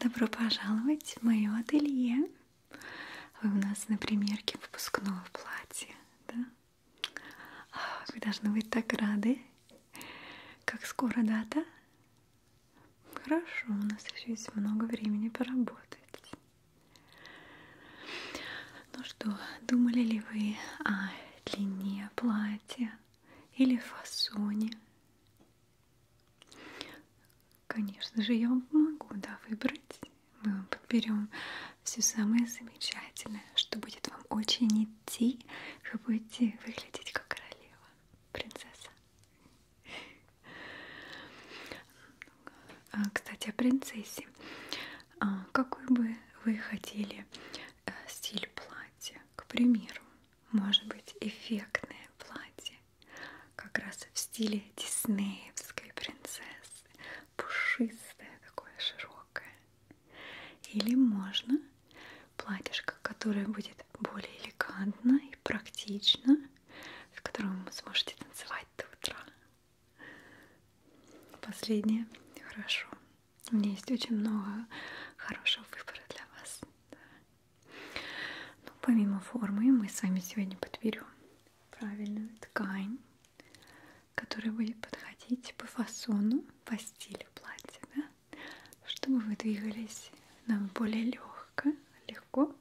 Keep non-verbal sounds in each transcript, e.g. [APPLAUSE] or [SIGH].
Добро пожаловать в мое ателье. Вы у нас на примерке выпускного платья, да? А, вы должны быть так рады. Как скоро дата? Хорошо, у нас еще есть много времени поработать. Ну что, думали ли вы о длине платья или фасоне. Конечно же, я вам помогу да, выбрать. Мы вам подберем все самое замечательное, что будет вам очень идти. Вы будете выглядеть как королева, принцесса. А, кстати, о принцессе. А, какой бы вы хотели э, стиль платья. К примеру, может быть эффектное платье, как раз в стиле диснеевской принцессы, пушистое такое широкое. Или можно платьишко, которое будет более элегантно и практично, в котором вы сможете танцевать до утра. Последнее хорошо. У меня есть очень много хорошего выбора для вас. Да. Ну, помимо формы, мы с вами сегодня подберем правильную ткань, которая будет подходить по фасону, по стилю платья, да? чтобы вы двигались нам более легко, легко.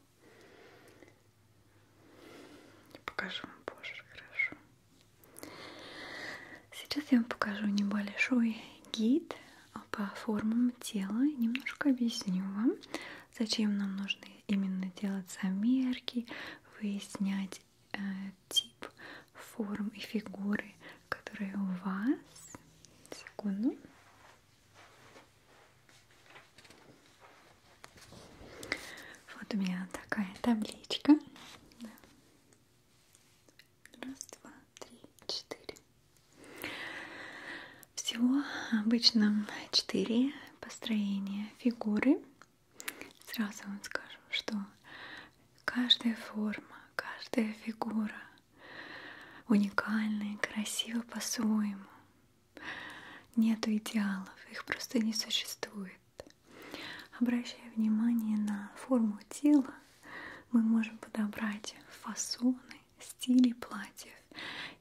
Я покажу вам позже, хорошо. Сейчас я вам покажу небольшой гид по формам тела. Немножко объясню вам, зачем нам нужны именно делать замерки, выяснять э, тип форм и фигуры, которые у вас. Секунду. Вот у меня такая табличка. Да. Раз, два, три, четыре. Всего обычно четыре построения фигуры. Сразу вам скажу, что каждая форма, каждая фигура уникальна и красива по-своему. Нету идеалов, их просто не существует. Обращая внимание на форму тела, мы можем подобрать фасоны, стили платьев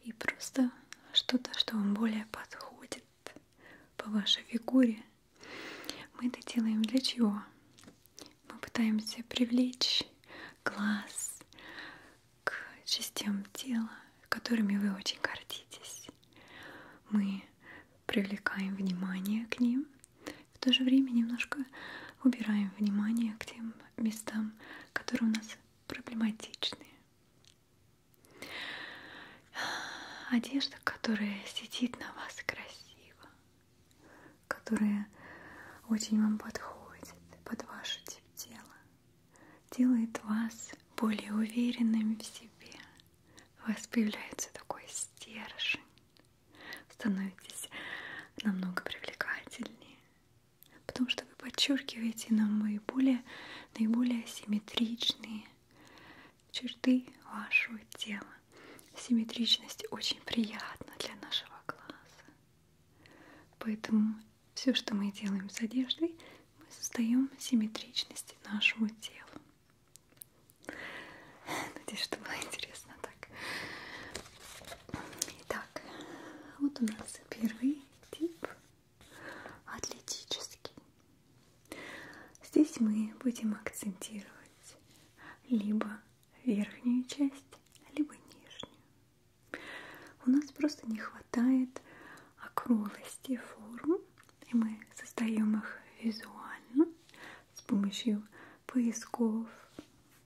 и просто что-то, что вам более подходит по вашей фигуре. Мы это делаем для чего? Мы пытаемся привлечь глаз к частям тела, которыми вы очень гордитесь. Мы привлекаем внимание к ним, в то же время немножко убираем внимание к тем местам, которые у нас проблематичны. Одежда, которая сидит на вас красиво, которая очень вам подходит под ваше тип тела, делает вас более уверенным в себе, у вас появляется такой стержень, становитесь намного привлекательнее, потому что вы подчеркиваете нам наиболее, наиболее симметричные черты вашего тела. Симметричность очень приятна для нашего глаза. Поэтому все, что мы делаем с одеждой, мы создаем симметричность нашему телу. Надеюсь, что было интересно так. Итак, вот у нас первый тип атлетический. Здесь мы будем акцентировать либо верхнюю часть, либо нижнюю. У нас просто не хватает округлости форм и мы создаем их визуально с помощью поисков,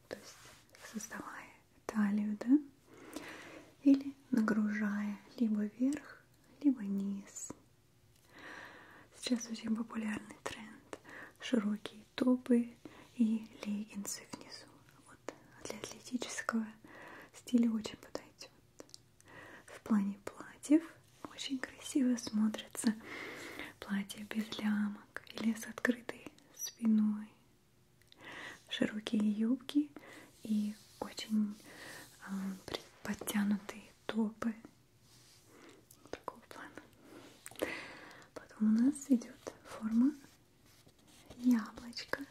то есть создавая талию, да? Или нагружая либо вверх, либо низ. Сейчас очень популярный тренд. Широкие топы и леггинсы внизу. Вот для атлетического стиля очень подойдет в плане платьев очень красиво смотрятся платья без лямок или с открытой спиной, широкие юбки и очень э, подтянутые топы такого плана. Потом у нас идет форма яблочко.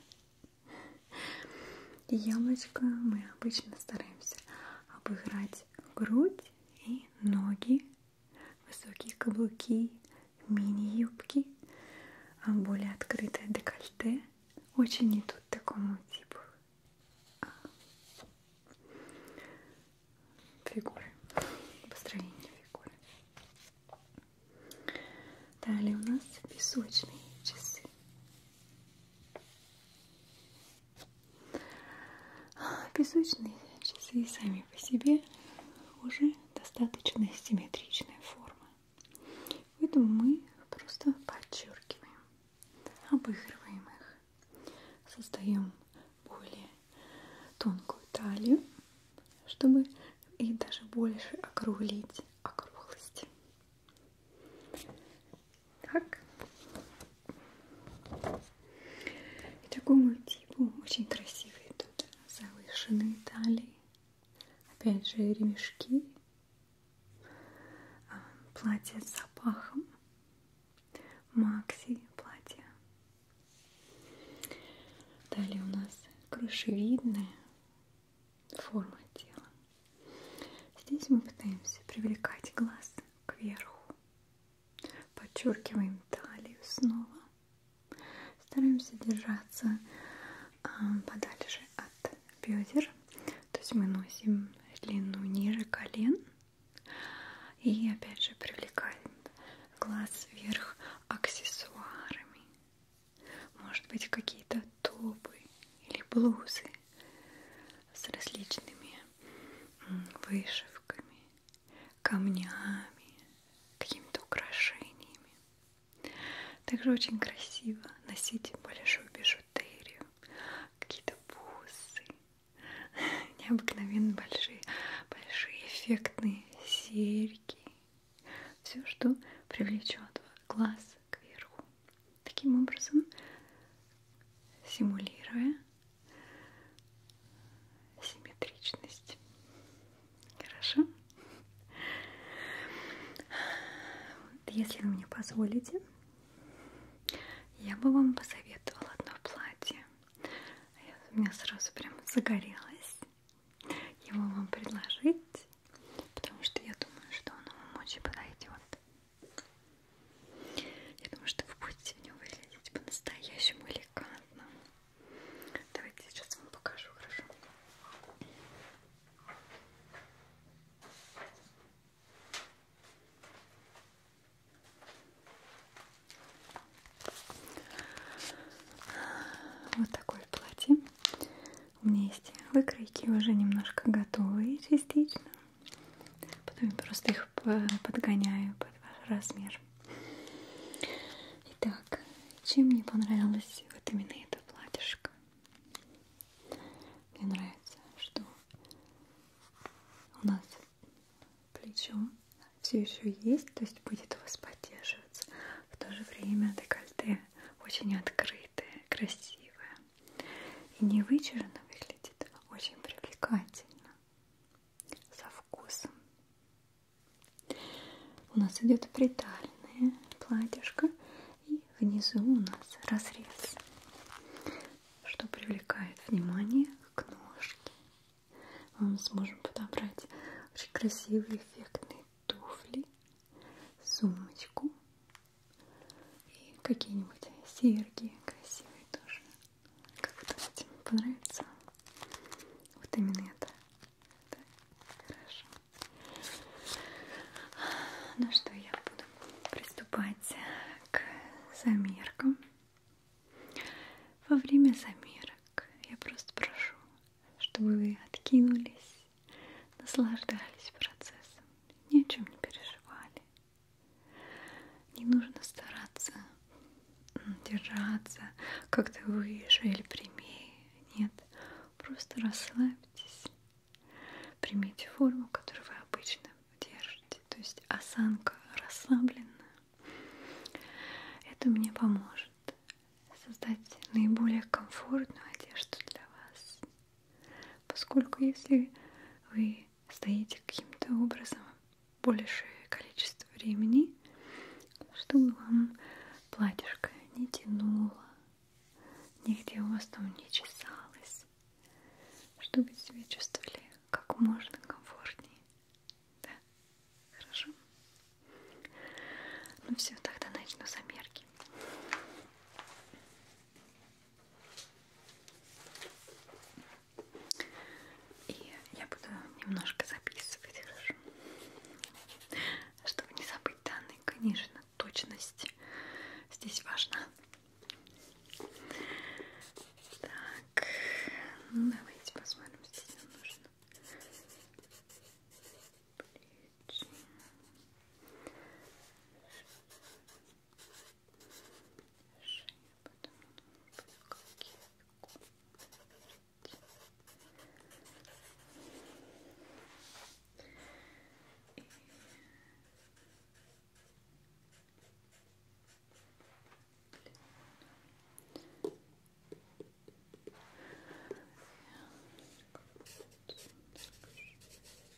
Яблочко мы обычно стараемся обыграть грудь и ноги, высокие каблуки, мини-юбки, а более открытое декольте. Очень идут такому типу а, фигуры, построение фигуры. Далее у нас песочные часы. Песочные часы сами по себе уже достаточно симметричная форма. Поэтому мы просто подчеркиваем, обыгрываем их, создаем более тонкую талию, чтобы и даже больше округлить округлость. Так. И такому типу очень красивые тут завышенные талии. Опять же ремешки. А, платье с запахом. Макси платье. Далее у нас крышевидная форма тела. Здесь мы пытаемся привлекать глаз кверху. Подчеркиваем талию снова. Стараемся держаться а, подальше от бедер. То есть мы носим длину ниже колен. И опять же привлекаем глаз вверх аксессуарами. Может быть какие-то топы или блузы с различными вышивками, камнями, какими-то украшениями. Также очень красиво носить большую бижутерию, какие-то бусы, [LAUGHS] необыкновенно большие, большие эффектные серьги. Все, что привлечет глаз кверху таким образом симулируя симметричность. Хорошо? Вот, если вы мне позволите, я бы вам посоветовала одно платье. Я, у меня сразу прям загорелось его вам предложить, потому что я думаю, что оно вам очень подойдет. Я думаю, что вы будете в нем выглядеть по-настоящему элегантно. Давайте сейчас вам покажу, хорошо? Вот такое платье. У меня есть выкройки уже немножко готовые частично. Потом я просто их подгоняю под ваш размер. Итак, чем мне понравилось вот именно это платьишко? Мне нравится, что у нас плечо все еще есть, то есть будет у вас поддерживаться. В то же время декольте очень открытое, красивое и не вычурно выглядит, очень привлекательно, со вкусом. У нас идет притальное платьишко, и внизу у нас разрез, что привлекает внимание к ножке. Мы сможем подобрать очень красивые эффектные туфли, сумочку и какие-нибудь серьги красивые тоже. Как вы думаете, понравится? Вот именно это. Да? Хорошо. Ну что, я буду приступать к замеркам. Во время замерок я просто прошу, чтобы вы откинулись, наслаждались процессом, ни о чем не переживали. Не нужно стараться держаться как-то выше или прямее. Нет, просто расслабьтесь. Примите форму, которую вы обычно держите. То есть осанка расслабленная. Это мне поможет создать наиболее комфортную одежду для вас. Поскольку если вы стоите каким-то образом больше количество времени, чтобы вам платьишко не тянуло, нигде у вас там не чесалось, чтобы себя чувствовали как можно комфортнее. Да? Хорошо? Ну все, тогда начну замерки. И я буду немножко записывать, хорошо? Чтобы не забыть данные, конечно, точность здесь важна. Так, ну давайте посмотрим, здесь нам нужно плечи шею, потом буду кокетку и Длину.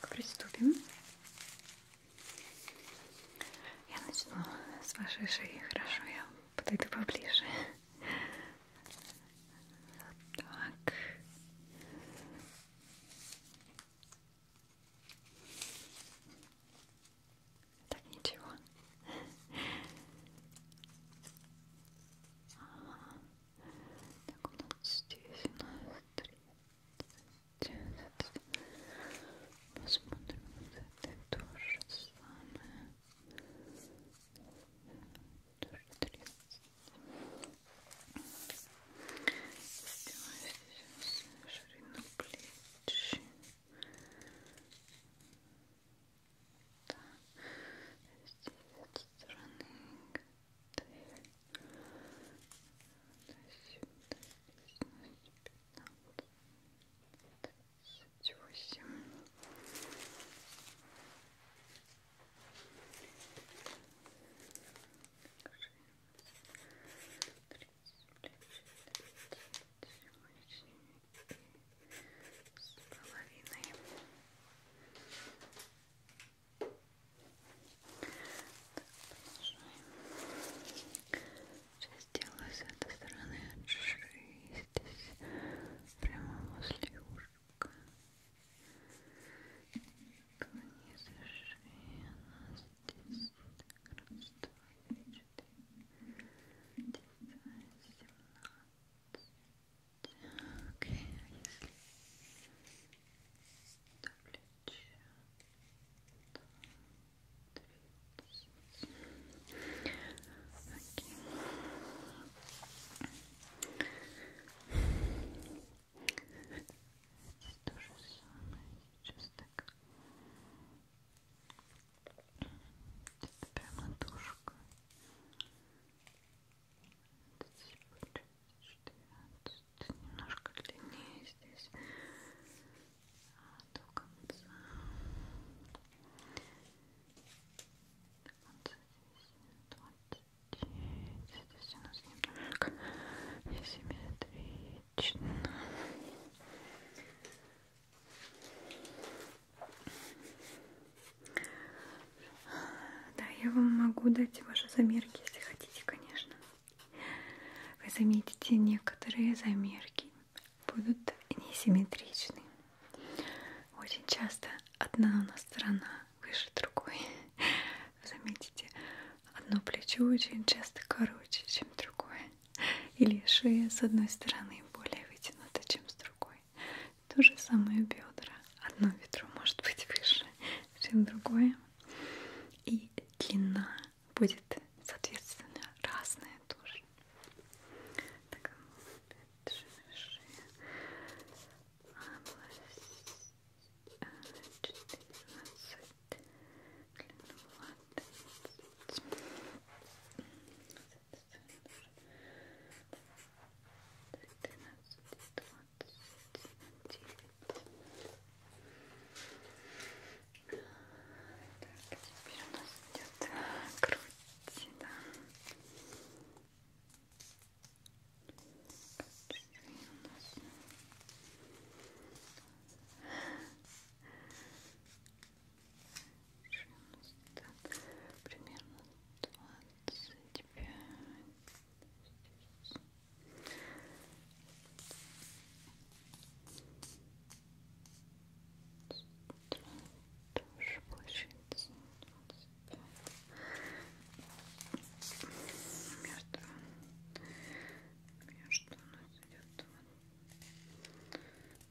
Так, приступим. Я начну с вашей шеи, хорошо, я подойду поближе. Вот так. Так, ничего. Ага. Так, у нас здесь у нас 30. Посмотрим, вот это тоже самое. Тоже 30. Сделаем сейчас ширину плеч. Так, да, здесь от стороны дверь до сюда, здесь пятнадцать, восемь тридцать, тридцать, тридцать, тридцать, с половиной. Так, Сейчас делаю с этой стороны от шеи, здесь прямо возле ушка. Вниз шеи, она здесь так раз, два, три, четыре, девятнадцать, семнадцать. Так, а если до плеча, то Окей. Здесь то же самое, сейчас так это прям ладошка. Это типа 14. Немножко длиннее здесь. А, до конца. До конца здесь 29. Здесь у нас немножко несимметрично. Да, я вам могу дать ваши замерки, если хотите, конечно. Вы заметите, некоторые замерки будут несимметричны. Очень часто одна у нас сторона выше другой. Заметите, одно плечо очень часто короче, чем другое. Или шея с одной стороны более вытянута, чем с другой то же самое бедра. Одно бедро может быть выше, чем другое. И длина будет, соответственно, разная тоже. Так, шея. Область 14. Длину 20. Так, теперь у нас идет э, грудь, да. Грудь у нас примерно двадцать пять тоже получается между между у нас идет вот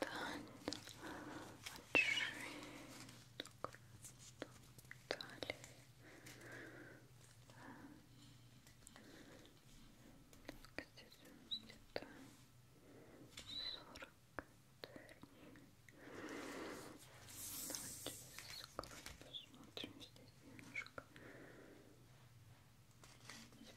задально от шеи до талии. Так, здесь у нас где-то 40 Давайте закроем, посмотрим здесь немножко. Здесь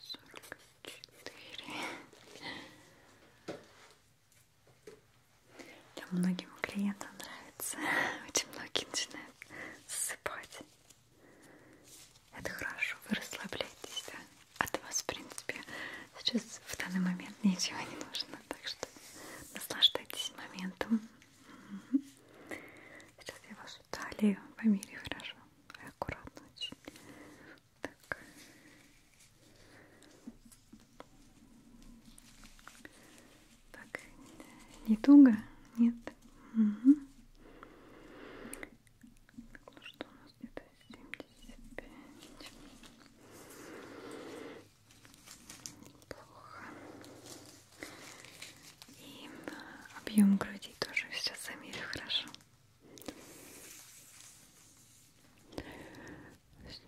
сорок четыре. Для многим клиентам нравится. [LAUGHS] Очень многие начинают засыпать. Это хорошо, вы расслабляетесь, да? От вас, в принципе, сейчас в данный момент ничего не нужно. Так что наслаждайтесь моментом. Сейчас я вашу талию померю хорошо и аккуратно очень. Так. так, не туго? Нет? Угу. Так, ну что у нас где-то 75. Плохо. И объем груди тоже сейчас замерю хорошо. Сейчас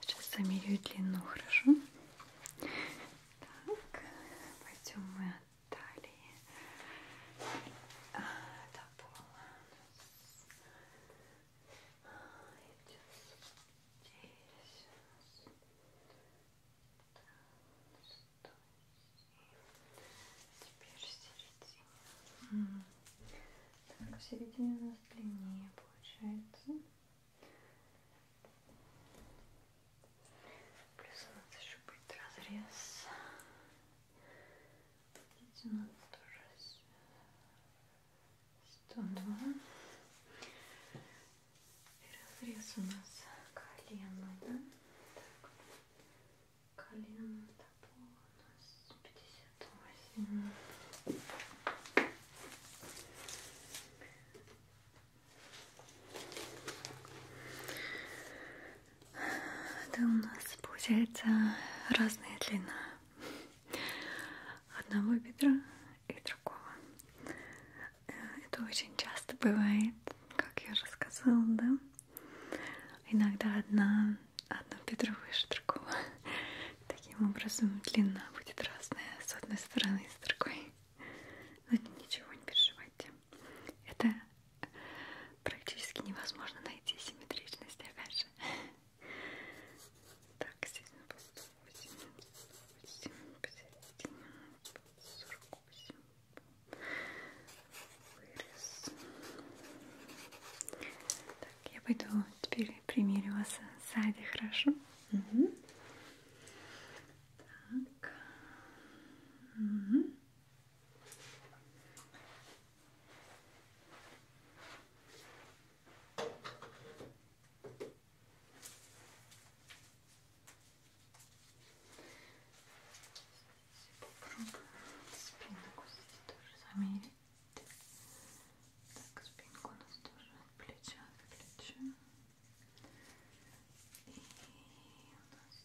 Сейчас замерю длину, хорошо? Так, пойдем мы от талии до а, пола. Идет здесь. Теперь середина. Так, середина у нас длиннее получается. Плюс у нас еще будет разрез. Видите, у нас тоже сто два. И разрез у нас колено, да? Так. Колено до пола у нас пятьдесят восемь. Это у нас получается разная длина одного бедра и другого. Э, это очень часто бывает, как я уже сказала, да? Иногда одна, одно бедро выше другого. [LAUGHS] Таким образом длина будет разная с одной стороны и с другой. Но ничего не переживайте. Это практически невозможно найти симметричность, опять же. [LAUGHS] Так, сильно пусто. Так, я пойду теперь примерю вас сзади, хорошо? Угу. Так. Угу. Так. Попробую спинку здесь тоже замерить. Так, спинку у нас тоже от плеча к плечу. И у нас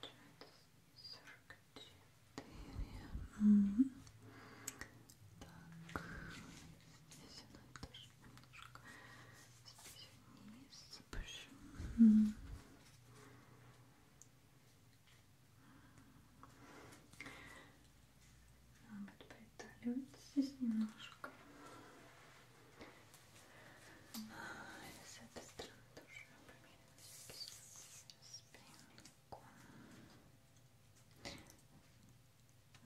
получается 44. Угу. Так, здесь она тоже немножко здесь вниз. Почему? Надо приталивать здесь немножко. И с этой стороны тоже померяем с прямиком.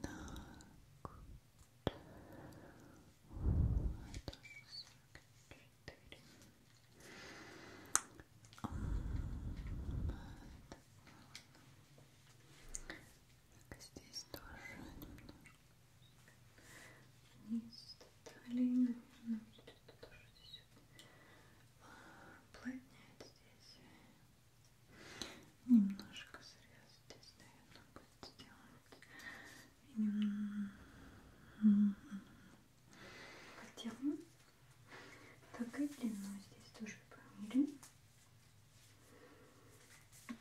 Так, здесь тоже немножко вниз талии, наверное, будет тоже здесь вот. плотнее здесь Немножко срез здесь, наверное, будет сделать. Нем... Хотела. Так и длину здесь тоже померим. Так.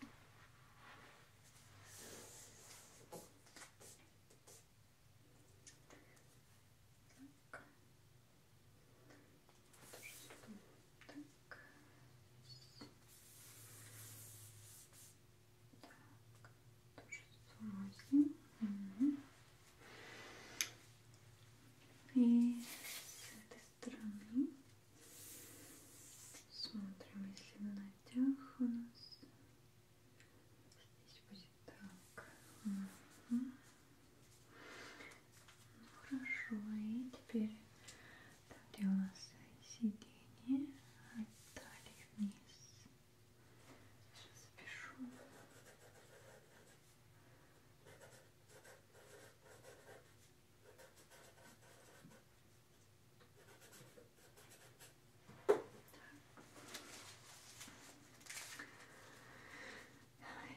Тоже сюда. Так. Так. Тоже сумасшедший. Угу. И с этой стороны смотрим, если в натяг у нас здесь будет так. Угу. Ну, хорошо, и теперь там, где у нас сиденье, от талии вниз. Сейчас запишу. Так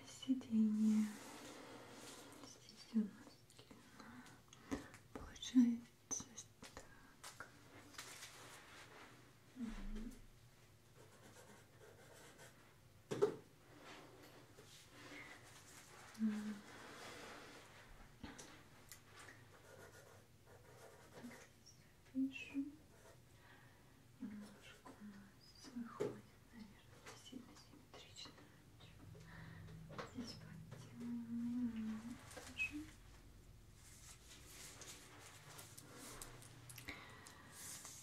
сиденье. Здесь у нас длина. Получается так. Угу. Запишу. Немножко у нас выходит наверное, не сильно симметрично. Здесь подтянули тоже.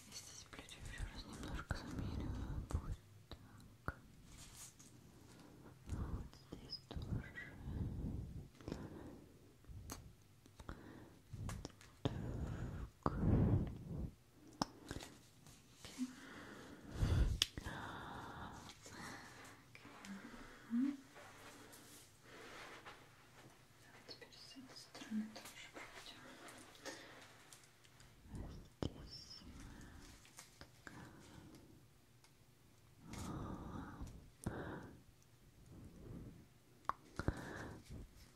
И здесь плечо еще раз немножко замерила. Будет так. Вот здесь тоже. Так. Давай теперь с этой стороны тоже пройдем. Здесь. Так. Okay.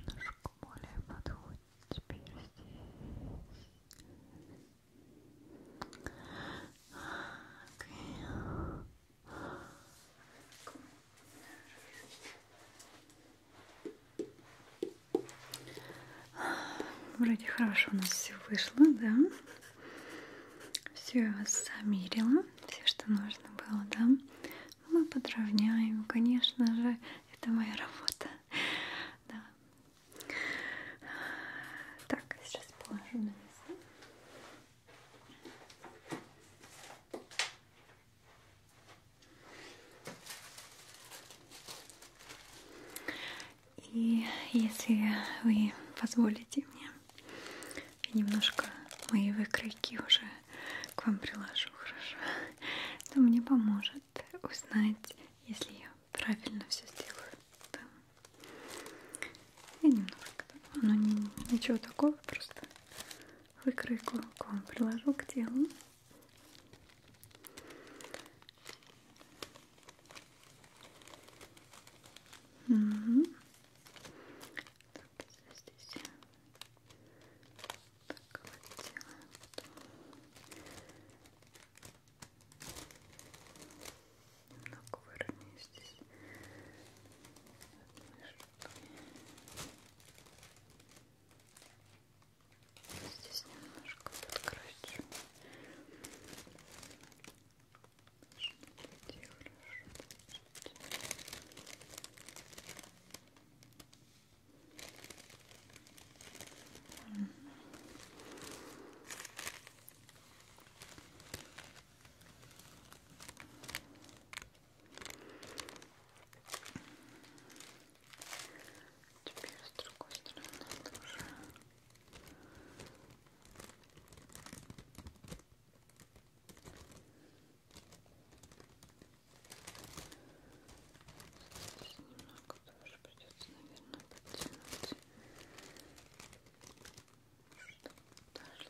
Немножко более подходит теперь здесь. Okay. Вроде хорошо у нас все вышло, да? Все замерила, все, что нужно было, да. Мы подровняем, конечно же, это моя работа. Да. Так, сейчас положу на место. И если вы позволите мне, я немножко мои выкройки уже к вам приложу, хорошо? Это мне поможет узнать, если я правильно все сделаю. Да. Я немножко, оно ну, не, ничего такого, просто выкройку к вам приложу к телу. Угу вот здесь так вот делаем немного выровняю здесь Здесь немножко подкрасим. Теперь с другой стороны тоже. Здесь немного тоже придется, наверное, подтянуть. Чтобы дошло хорошо. Так,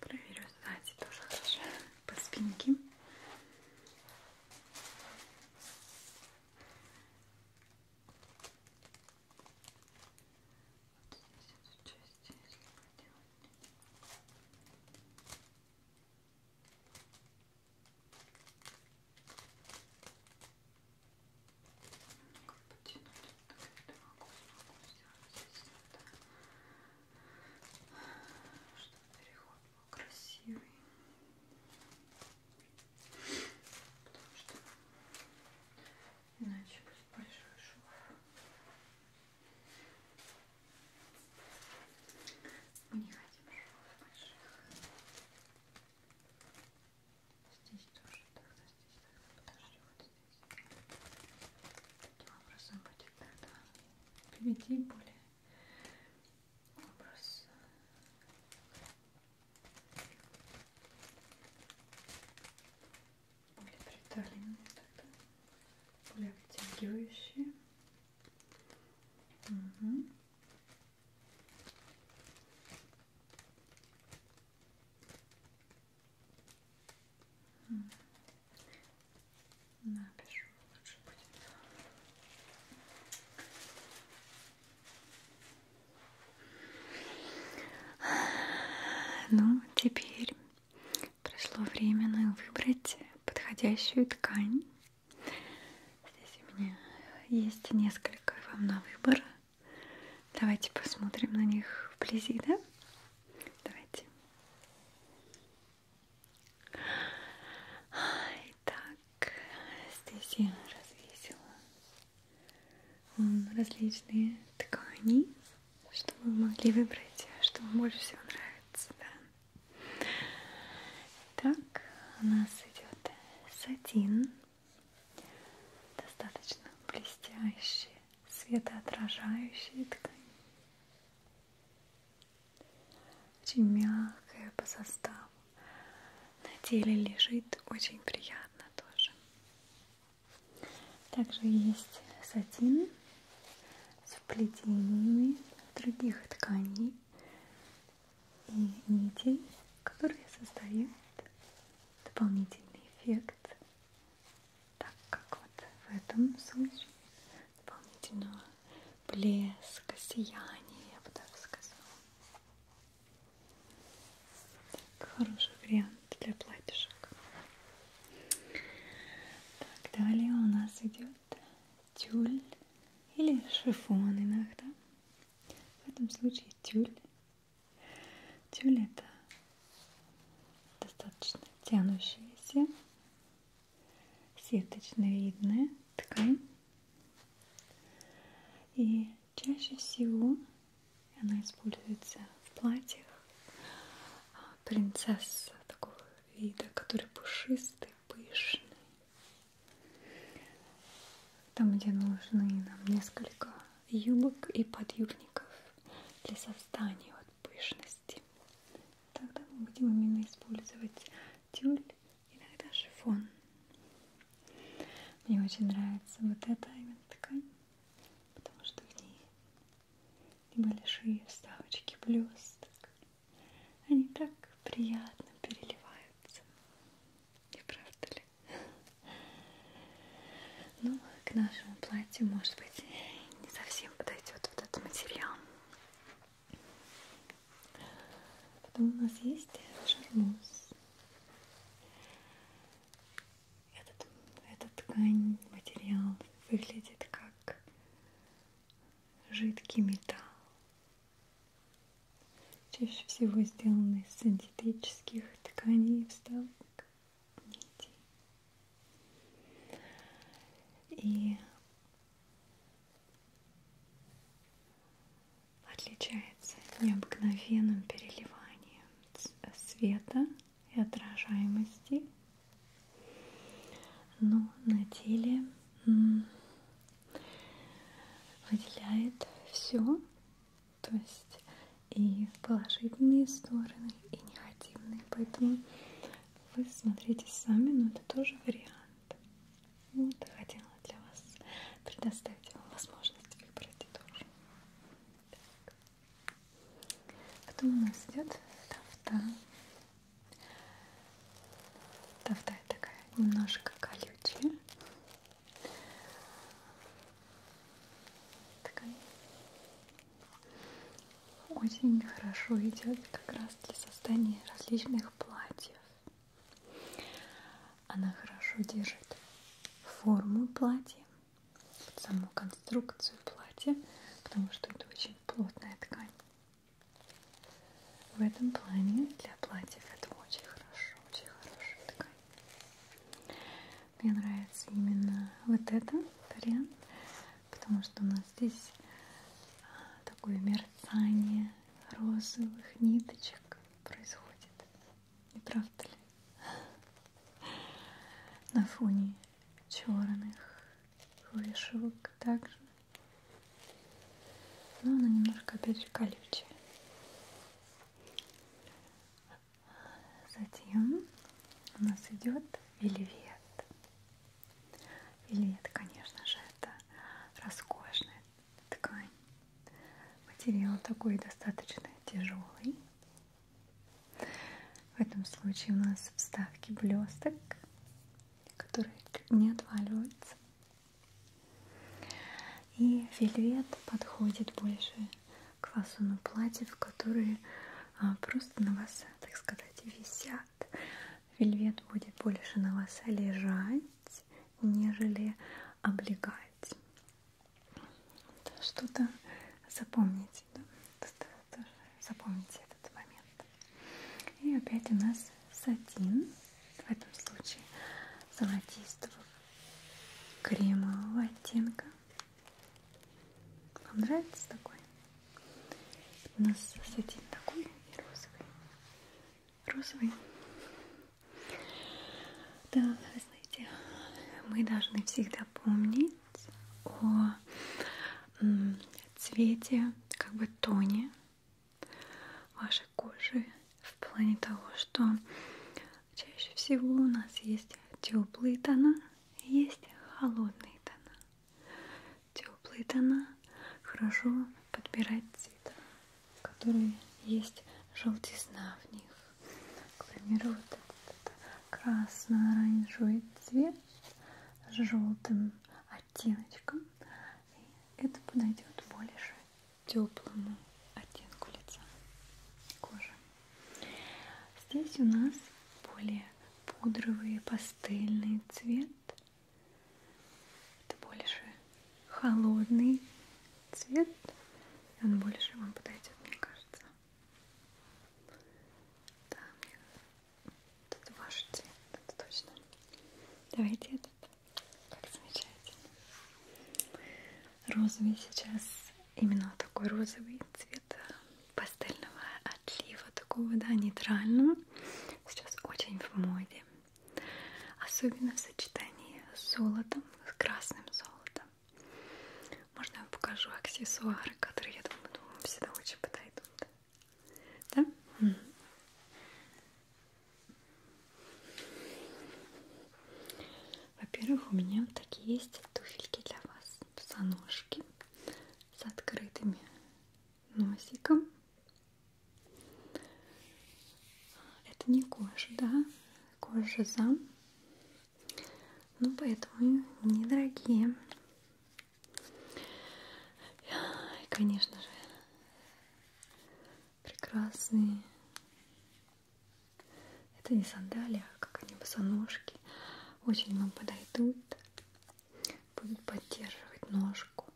Проверю сзади тоже хорошо по спинке. Вот здесь эту часть, если поделать. Подтянуть потому что могу, ну, смогу сделать здесь это, чтобы переход был красивый. Потому что иначе будет большой шов. Мы не хотим швов больших. Здесь тоже тогда, здесь тогда подожди, вот здесь. Таким образом будет надо приведи более образ. Более приталенные тогда, более обтягивающие. Угу. Напишу лучше будет. Ну, теперь пришло время выбрать подходящую ткань. Здесь у меня есть несколько вам на выбор. Давайте посмотрим на них вблизи, да? Давайте. Итак, здесь я развесила различные ткани, чтобы вы могли выбрать, а что вам больше всего нравится. Да? Так, у нас идет сатин, достаточно блестящий, светоотражающей ткани. Очень мягкая по составу. На теле лежит очень приятно тоже. Также есть сатин с вплетениями других тканей и нитей, которые создают дополнительный эффект так как вот в этом случае дополнительного блеска, сияния, я бы так сказала. Так, хороший вариант для платьишек. Так, далее у нас идет тюль или шифон иногда. В этом случае тюль Тюль это достаточно тянущаяся, сеточно-видная ткань. И чаще всего она используется в платьях а принцесса такого вида, который пушистый, пышный. Там, где нужны нам несколько юбок и подюбников для совсем отстанию от пышности. Тогда мы будем именно использовать тюль, иногда шифон. Мне очень нравится вот эта именно ткань, потому что в ней небольшие вставочки блесток. Они так приятно переливаются. Не правда ли? Ну, к нашему платью, может быть, не совсем подойдет вот этот материал. Потом у нас есть шармуз. Этот, этот ткань, материал выглядит как жидкий металл. Чаще всего сделан из синтетических тканей и вставок нитей. И отличается необыкновенным переливанием света и отражаемости. Но на теле выделяет все. То есть и положительные стороны, и негативные. Поэтому вы смотрите сами, но это тоже вариант. Вот хотела для вас предоставить вам возможность выбрать тоже. Так. Потом у нас идет тафта. Тафта такая немножко колючая. Такая очень хорошо идет как раз для создания различных платьев. Она хорошо держит форму платья, саму конструкцию платья, потому что это очень плотная ткань. В этом плане для платьев это очень хорошо, очень хорошая ткань. Мне нравится именно вот этот вариант, потому что у нас здесь а, такое мерцание розовых ниточек происходит. Не правда ли? На фоне черных вышивок также. Но она немножко опять же колючая. Затем у нас идет вельвет. Вельвет, конечно же, это роскошная ткань. Материал такой достаточно тяжелый. В этом случае у нас вставки блесток, которые не отваливаются. И вельвет подходит больше к фасону платьев, которые а, просто на вас, так сказать, висят. Вельвет будет больше на вас лежать, нежели облегать. Что-то запомните, да? Тоже запомните этот момент. И опять у нас сатин, в этом случае золотистого кремового оттенка вам нравится такой? У нас сатин такой и розовый. Розовый. Да, вы знаете, мы должны всегда помнить о цвете, как бы тоне вашей кожи в плане того, что чаще всего у нас есть теплые тона, есть холодные тона. Теплые тона хорошо подбирать цвета, которые есть желтизна в них. К примеру, вот этот красно-оранжевый цвет с желтым оттеночком. И это подойдет больше теплому оттенку лица кожи. Здесь у нас более пудровый, пастельный цвет. Это больше холодный цвет. Он больше вам подойдет, мне кажется. Да, тут ваш цвет, это точно. Давайте этот. Как замечательно. Розовый сейчас именно такой розовый цвет пастельного отлива, такого, да, нейтрального, сейчас очень в моде. Особенно в сочетании с золотом, с красным золотом. Можно я покажу аксессуары, которые, я думаю, думаю ну, всегда очень подойдут. Да? Во-первых, у меня вот такие есть туфельки для вас. Босоножки с открытыми носиком. Это не кожа, да? Кожа зам. Ну, поэтому недорогие. И, конечно же, прекрасные это не сандалии, а как они босоножки. Очень вам подойдут. Будут поддерживать ножку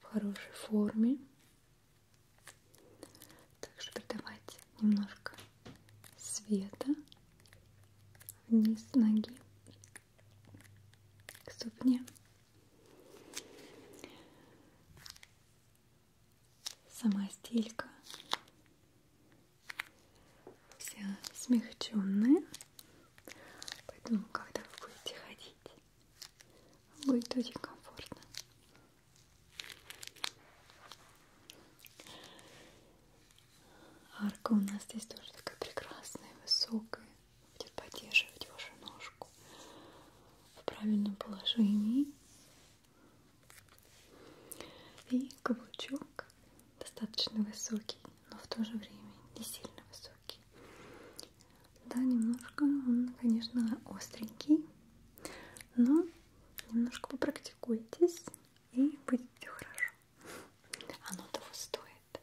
в хорошей форме. Также придавать немножко света вниз ноги к ступне. Сама стелька вся смягченная. Поэтому, когда вы будете ходить, будет очень комфортно. Арка у нас здесь тоже такая прекрасная, высокая. Будет поддерживать вашу ножку в правильном положении. И каблучок достаточно высокий, но в то же время не сильно высокий. Да, немножко он, конечно, остренький, но немножко попрактикуйтесь и будет все хорошо. Оно того стоит.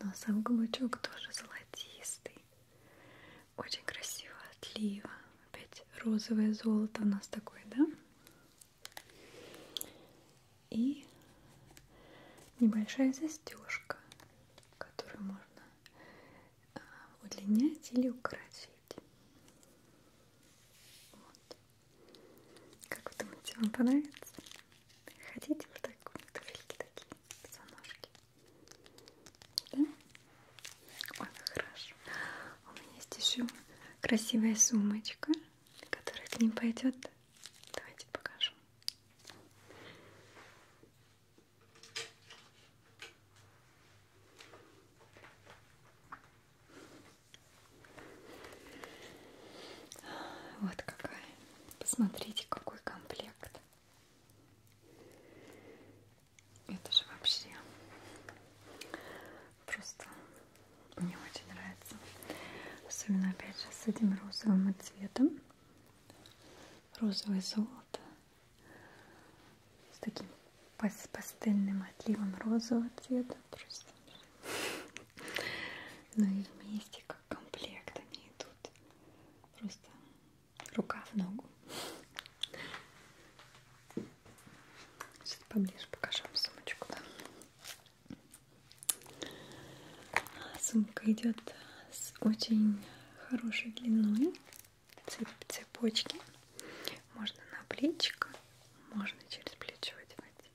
Но сам каблучок тоже золотистый. Очень красиво отлива. Опять розовое золото у нас такое, да? И небольшая застежка, которую можно а, удлинять или укоротить. Вот. Как вы думаете, вам понравится? Хотите вот так вот туфельки такие, позвоножки? Да? Ой, хорошо. У меня есть еще красивая сумочка, которая к ним пойдет. Давайте покажу. Вот какая. Посмотрите, какой комплект. Это же вообще Просто мне очень нравится. Особенно опять же с этим розовым цветом. Розовое золото. С таким пастельным отливом розового цвета. Просто. Ну и вместе как комплект они идут. Просто рука в ногу. Сейчас поближе покажу вам сумочку. Да? А, сумка идет с очень хорошей длиной цеп цепочки. Можно на плечико, можно через плечо одевать.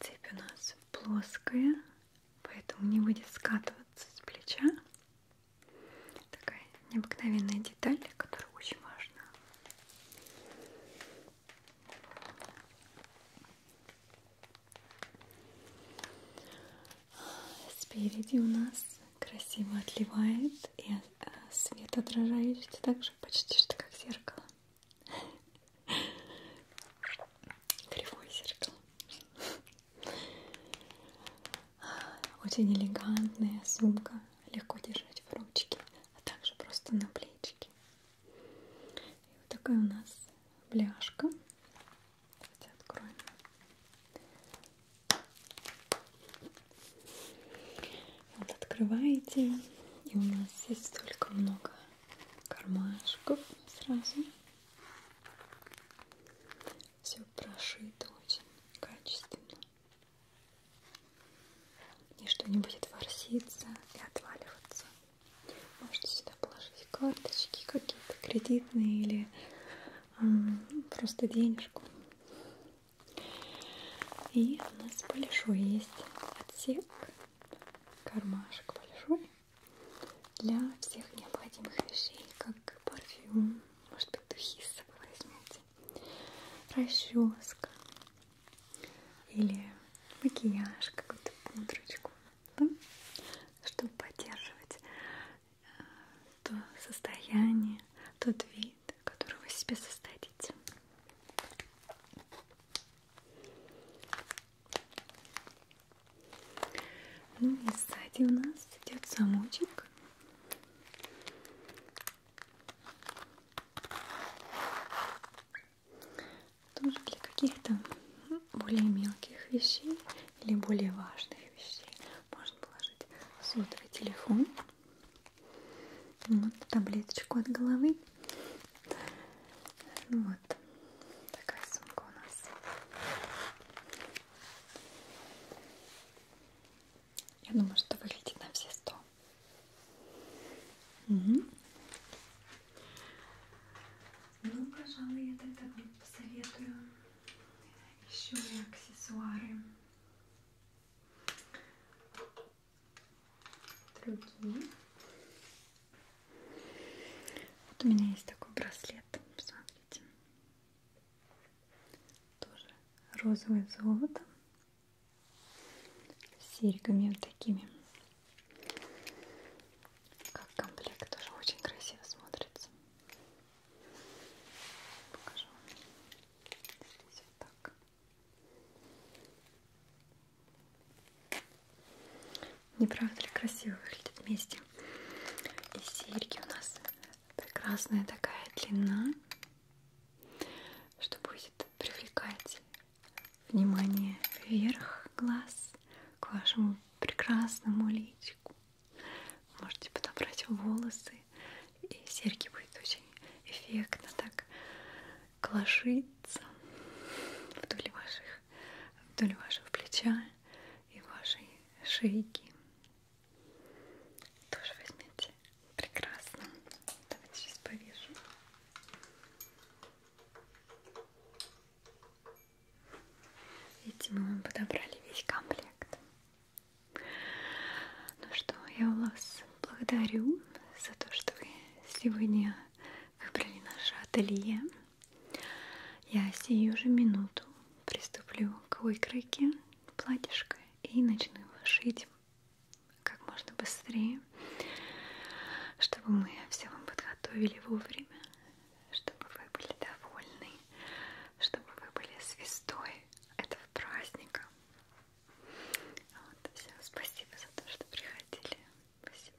Цепь у нас плоская, поэтому не будет скатываться с плеча. Такая необыкновенная деталь, которая очень важна. Спереди у нас красиво отливает и э, свет отражающий, также почти что как зеркало. Кривое зеркало. Очень элегантная сумка, легко держать в ручке, а также просто на плечике. И вот такая у нас бляшка. Давайте откроем. Вот открываете, и у нас здесь столько много кармашков сразу. Все прошито очень качественно и что не будет ворситься и отваливаться. Можете сюда положить карточки какие-то кредитные или э, просто денежку. И у нас большой есть отсек, кармашек большой для всех необходимых вещей, как парфюм, может быть духи с собой возьмете, расческа или макияж, какую-то пудрочку, да? Ну, чтобы поддерживать э, то состояние, тот вид, который вы себе создадите. Ну и сзади у нас идет замочек. Тоже для каких-то более мелких вещей или более важных вещей можно положить сотовый телефон, вот, таблеточку от головы. Вот такая сумка у нас. Я думаю, что выглядит на все сто. Угу. Ну, пожалуй, я тогда вам посоветую еще и аксессуары. Другие. Вот у меня есть такой браслет, смотрите. Тоже розовое золото. С серьгами вот такими. Как комплект тоже очень красиво смотрится. Покажу. Здесь вот так. Не правда ли красиво выглядит вместе? И серьги у нас прекрасная такая длина что будет привлекать внимание вверх глаз к вашему прекрасному личику. Можете подобрать волосы, и серьги будет очень эффектно так кложиться вдоль ваших, вдоль вашего плеча и вашей шейки. Тоже возьмите. Прекрасно. Давайте сейчас повешу. Видите, мы вам подобрали весь комплект. Ну что, я вас благодарю за то, что вы сегодня выбрали наше ателье. Я сию же минуту приступлю к выкройке платьишко и начну его шить как можно быстрее, чтобы мы все вам подготовили вовремя, чтобы вы были довольны, чтобы вы были звездой этого праздника. Вот, все, спасибо за то, что приходили. Спасибо.